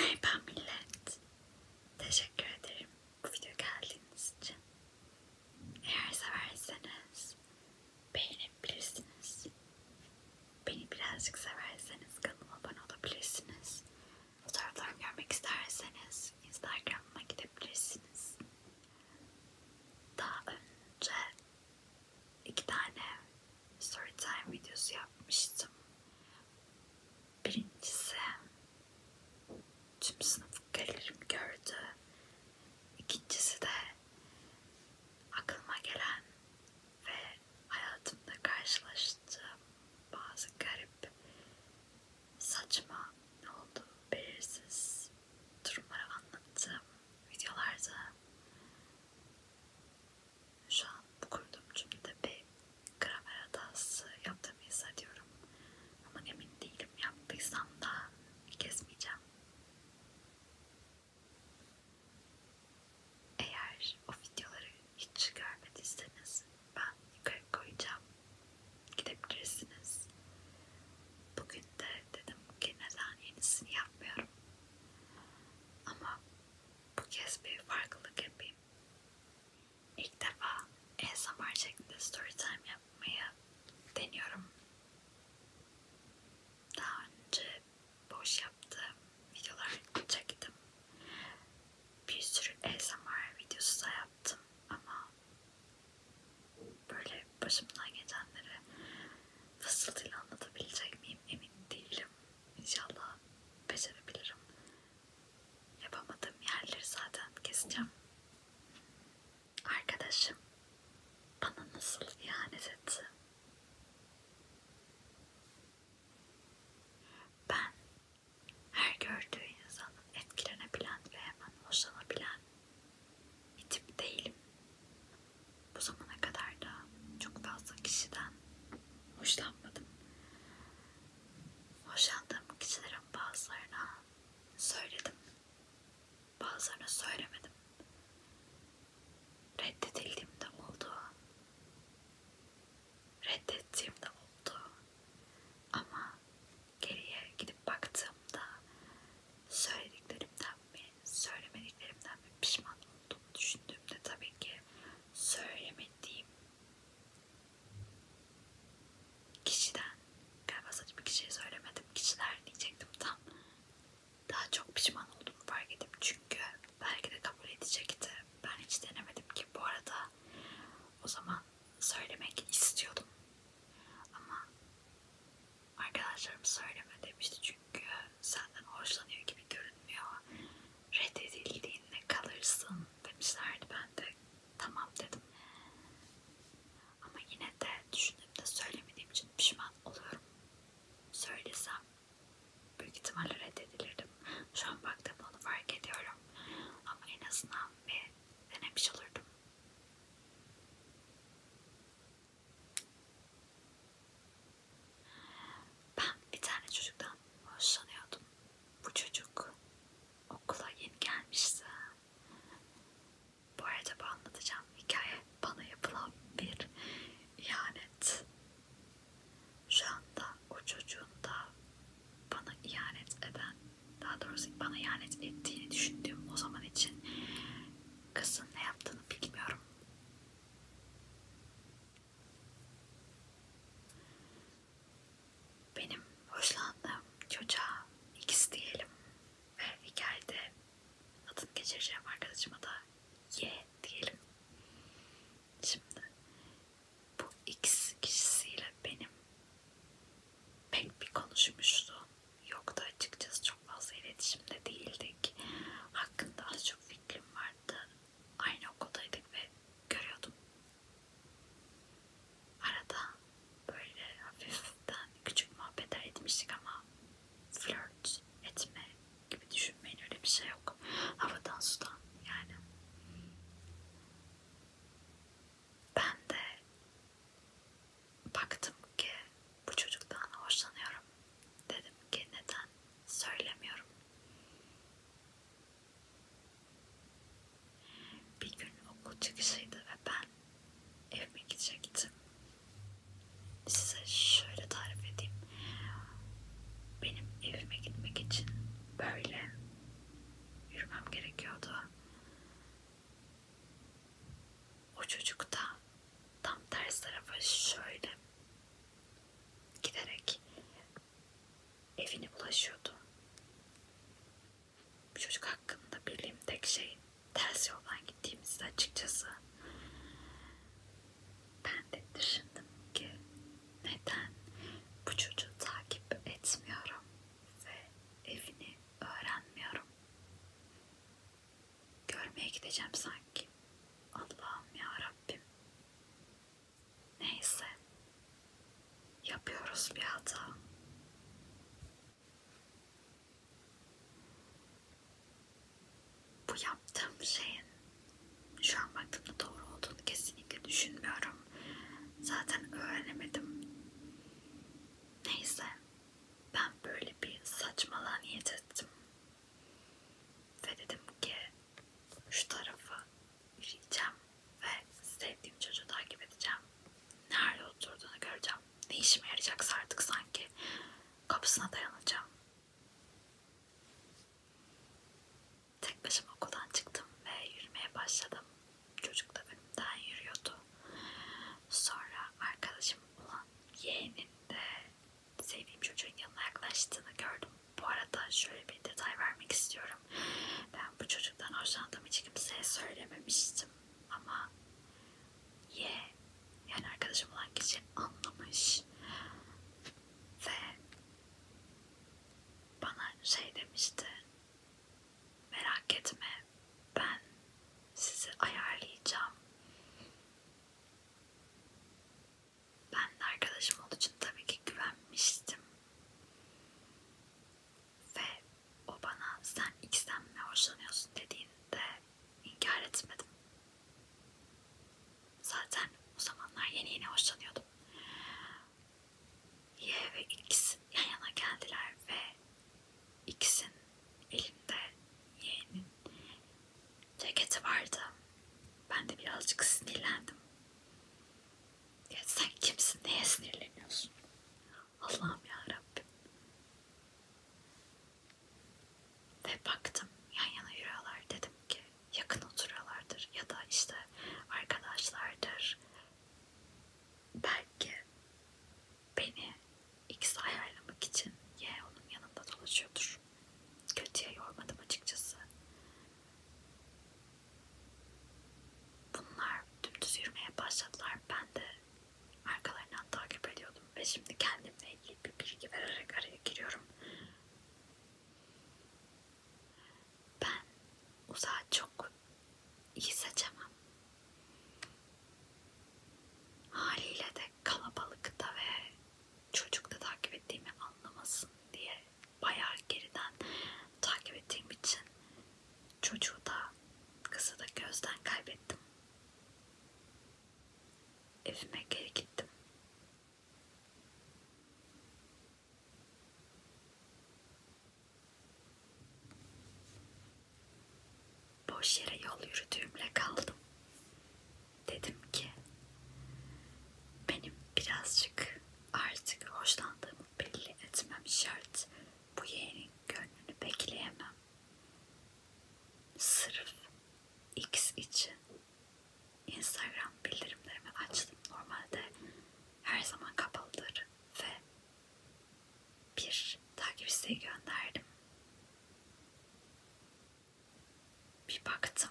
Merhaba millet. Teşekkür ederim bu video geldiğiniz için. Eğer severseniz beğenebilirsiniz. Beni birazcık severseniz kanalıma abone olabilirsiniz. Fotoğraflarımı görmek isterseniz Instagram'ıma gidebilirsiniz daha önce iki tane story time videosu yapmıştım. Birincisi tüm sınıf gelirim gördü. İkincisi de aklıma gelen ve hayatımda karşılaştığım bazı garip saçma ne oldu belirsiz durumları anlattığım videolarda şu an bu kurduğum cümlede bir gramer hatası yaptığımı hissediyorum. Ama emin değilim yaptıysam da kesmeyeceğim. Eğer o videoları hiç görmediyseniz ben yukarı koyacağım gidebilirsiniz. Bugün de dedim ki neden yenisini yapmıyorum. Ama bu kez bir farklılık yapayım. İlk defa ASMR şeklinde storytime yapmayı deniyorum. Daha önce boş yaptığım videolar çektim. Bir sürü ASMR videosu da yaptım ama böyle başımdan geçenleri fısıltıyla anlatabilecek miyim emin değilim. İnşallah becerebilirim. Yapamadığım yerleri zaten keseceğim. Arkadaşım bana nasıl ihanet etti? Ben her gördüğü insanın etkilenebilen ve hemen hoşlanabilen bir tip değilim. Bu zamana kadar da çok fazla kişiden hoşlanmadım. Hoşlandığım kişilerin bazılarına söyledim, bazılarına söylemedim. Reddedildiğimde oldu reddettiğim de oldu. Ama geriye gidip baktığımda söylediklerimden mi, söylemediklerimden mi pişman olduğumu düşündüğümde tabii ki söylemediğim kişiden galiba sadece bir kişiye söylemedim kişiler diyecektim tam daha çok pişman olduğumu fark ettim çünkü belki de kabul edecekti ben hiç denemedim ki bu arada o zaman söylemek istiyordum ama arkadaşlarım söyleme demişti çünkü senden hoşlanıyor gibi görünmüyor reddedildiğinde kalırsın demişlerdi ben de tamam dedim ama yine de düşündüğümde söylemediğim için pişman oluyorum söylesem büyük ihtimalle reddedilirdim şu an baktığımda onu fark ediyorum bilmiyorum. Ama en azından bir denemiş olurdum. Ben bir tane çocuktan hoşlanıyordum. Bu çocuk okula yeni gelmişti. Bu arada bu anlatacağım hikaye bana yapılan bir ihanet. Şu anda o çocuğun da bana ihanet eden, daha doğrusu bana ihanet ettiğini düşündüğüm o zaman için kızın ne yaptığını bilmiyorum. Benim hoşlandığım çocuğa X diyelim ve hikayede adını geçireceğim arkadaşıma da Y diyelim. Şimdi bu X kişisiyle benim pek bir konuşmuştu. Yoktu açıkçası çok fazla iletişimde değildik. Hakkında az çok fikrim vardı. Aynı okuldaydık ve görüyordum. Arada böyle hafiften küçük muhabbetler etmiştik ama flört etme gibi düşünmeyin öyle bir şey yok. Havadan sudan yani. Ben de baktım ki bu çocuktan hoşlanıyorum. Dedim ki neden söylemiyorum. Bir gün okul çıkışıydı ve ben evime gidecektim. Size şöyle tarif edeyim. Benim evime gitmek için böyle yürümem gerekiyordu. O çocuk da tam ters tarafa şöyle giderek evine ulaşıyordu. Bu çocuk hakkında bildiğim tek şey ters yoldan gittiğimizde açıkçası ben de düşündüm ki neden bu çocuğu takip etmiyorum ve evini öğrenmiyorum. Görmeye gideceğim sanki. Allah'ım ya Rabbim. Neyse. Yapıyoruz bir hata bu yaptığım şeyin şu an baktığımda doğru olduğunu kesinlikle düşünmüyorum. Zaten öğrenemedim. Neyse. Ben böyle bir saçmalığa niyet ettim. Ve dedim ki şu tarafı yürüyeceğim ve sevdiğim çocuğu takip edeceğim. Nerede oturduğunu göreceğim. Ne işime yarayacaksa artık sanki kapısına dayanacağım. Tek başıma okuldan çıktım ve yürümeye başladım. Çocuk da önümden yürüyordu. Sonra arkadaşım olan yeğenin de sevdiğim çocuğun yanına yaklaştığını gördüm. Bu arada şöyle bir detay vermek istiyorum. Ben bu çocuktan hoşlandığımı hiç kimseye söylememiştim ama ye yani arkadaşım olan kişi anlamış ve bana şey demişti merak etme ben sizi ayarlayacağım ben de arkadaşım olduğu için tabii ki güvenmiştim ve o bana sen ikisinden mi hoşlanıyorsun dediğinde inkar etmedim Zaten o zamanlar yeni yeni hoşlanıyordum. Y ve X yan yana geldiler ve X'in elinde Y'nin ceketi vardı. Ben de birazcık sinirlendim. Ya sen kimsin? Neye sinirleniyorsun? Allah'ım ya Rabbim. Ve baktım yan yana yürüyorlar dedim ki yakın oturuyorlardır ya da işte arkadaşlardır. Belki beni X'e ayarlamak için Y onun yanında dolaşıyordur. Kötüye yormadım açıkçası. Bunlar dümdüz yürümeye başladılar. Ben de arkalarından takip ediyordum ve şimdi kendimle ilgili bir bilgi vererek araya giriyorum. Ben uzağı çok iyi seçemem. Haliyle de kalabalıkta ve çocukta takip ettiğimi anlamasın diye bayağı geriden takip ettiğim için çocuğu da kızı da gözden kaybettim. Evime geri gittim. Boş yere yol yürüdüğümle kaldım. Dedim ki benim birazcık artık hoşlandığımı belli etmem şart. Bu yeğenin gönlünü bekleyemem sırf X için Instagram bildirimlerimi açtım. Normalde her zaman kapalıdır ve bir takip isteği gönderdim. Bir baktım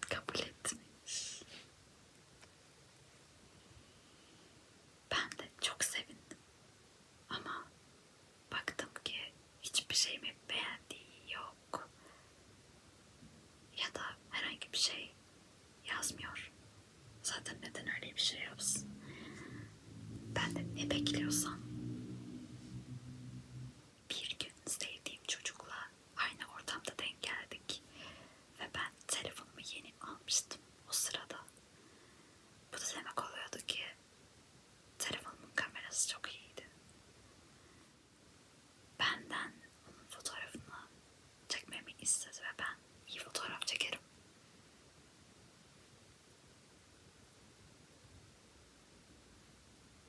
kabul ettiniz. Ben de çok sevindim. Ama baktım ki hiçbir şeyimi beğendiği yok. Ya da herhangi bir şey yazmıyor. Zaten neden öyle bir şey yapsın? Ben de ne bekliyorsam bir gün sevdiğim çocukla aynı ortamda denk geldik ve ben telefonumu yeni almıştım o sırada bu da demek oluyordu ki telefonumun kamerası çok iyiydi. Benden onun fotoğrafını çekmemi istedi ve ben iyi fotoğraf çekerim.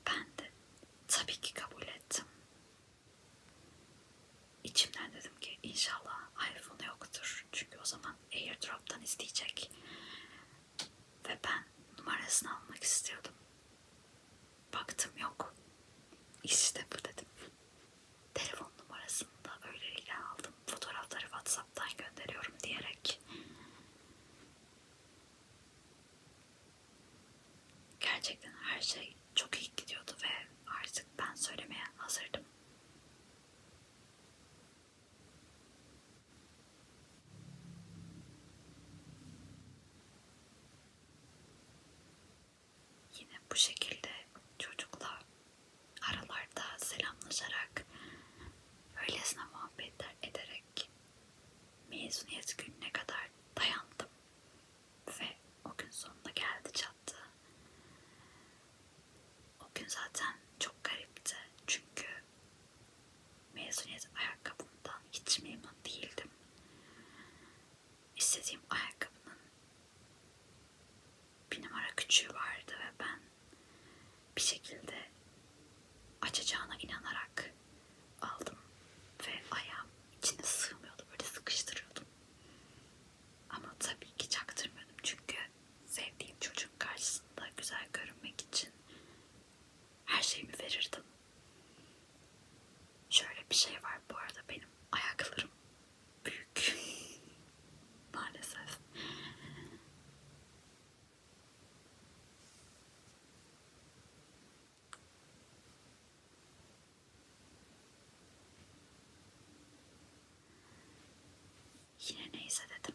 Ben de tabii ki kabul ettim. İçimden dedim ki inşallah iPhone yoktur. Çünkü o zaman AirDrop'tan isteyecek. Ve ben numarasını almak istiyordum. Baktım yok. İşte bu dedim. Telefon numarasını da öyleyle aldım. Fotoğrafları Whatsapp'tan gönderiyorum diyerek. Gerçekten her şey çok iyi gidiyordu ve artık ben söylemeye hazırdım. Yine bu şekilde çocukla aralarda selamlaşarak öylesine muhabbetler ederek mezuniyet gününe kadar dayandım ve o gün sonunda geldi çattı. O gün zaten çok garipti. Çünkü mezuniyet ayakkabımdan hiç memnun değildim. İstediğim ayakkabının bir numara küçüğü vardı ve ben bir şekilde açacağına inanarak aldım ve ayağım içine sığmıyordu böyle sıkıştırıyordum ama tabii ki çaktırmadım çünkü sevdiğim çocuğun karşısında güzel görünmek için her şeyimi verirdim. Şöyle bir şey var bu arada benim ayaklarım büyük maalesef. Yine neyse dedim.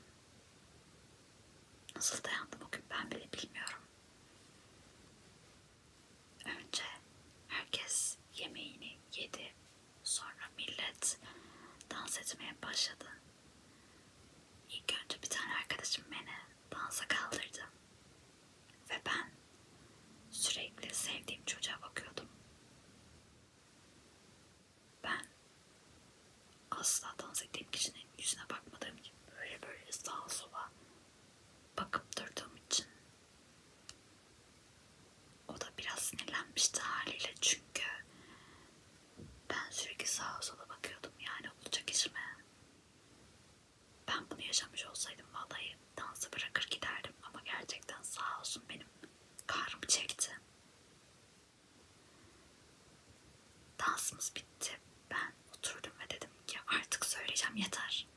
Nasıl dayandım o gün ben bile bilmiyorum. Önce herkes yemeğini yedi. Sonra millet dans etmeye başladı. İlk önce bir tane arkadaşım beni dansa kaldırdı. Ve ben sürekli sevdiğim çocuğa bakıyordum. Ben asla dans ettiğim kişinin yüzüne bakmadığım gibi böyle böyle sağa sola bakıp durduğum için o da biraz sinirlenmişti haliyle çünkü ben sürekli sağa sola bakıyordum yani olacak iş mi? Ben bunu yaşamış olsaydım vallahi dansı bırakır giderdim ama gerçekten sağ olsun benim karım çekti. Dansımız bitti. Ben oturdum ve dedim ki artık söyleyeceğim yeter.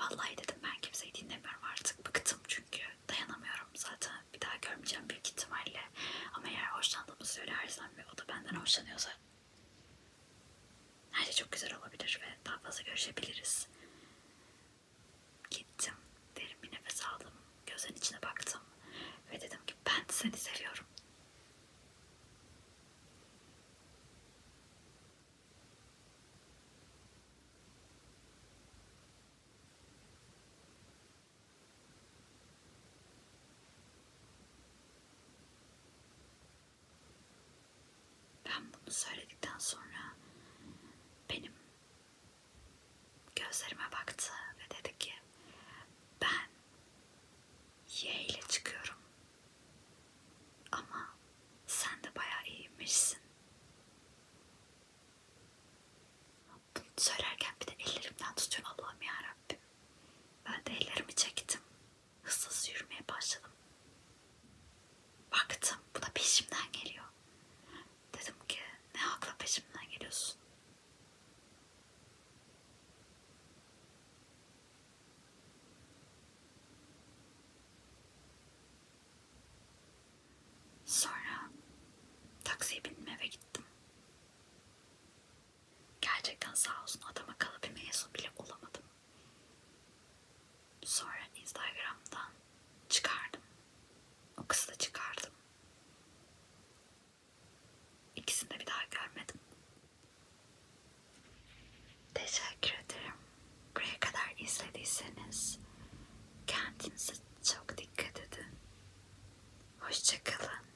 Vallahi dedim ben kimseyi dinlemiyorum artık. Bıktım çünkü dayanamıyorum zaten. Bir daha görmeyeceğim büyük ihtimalle. Ama eğer hoşlandığımı söylersem ve o da benden hoşlanıyorsa her şey çok güzel olabilir ve daha fazla görüşebiliriz. Gittim, derin bir nefes aldım, gözlerin içine baktım ve dedim ki ben seni seviyorum. Ben bunu söyledikten sonra benim gözlerime baktı ve dedi ki ben Y ile çıkıyorum ama sen de bayağı iyiymişsin. Bunu söylerken bir de ellerimden tutuyor Allah'ım yarabbim. Ben de ellerimi çektim hızlı yürümeye başladım. Baktım bu da peşimden geliyor. Dedim ki ne hakla peşimden geliyorsun? Sonra taksiye bindim eve gittim. Gerçekten sağ olsun adam akıllı bir mezun bile olamadım. Sonra Instagram'dan çıkardım. O kızı da çıkardım. İkisini de bir daha görmedim. Teşekkür ederim. Buraya kadar izlediyseniz kendinize çok dikkat edin. Hoşçakalın.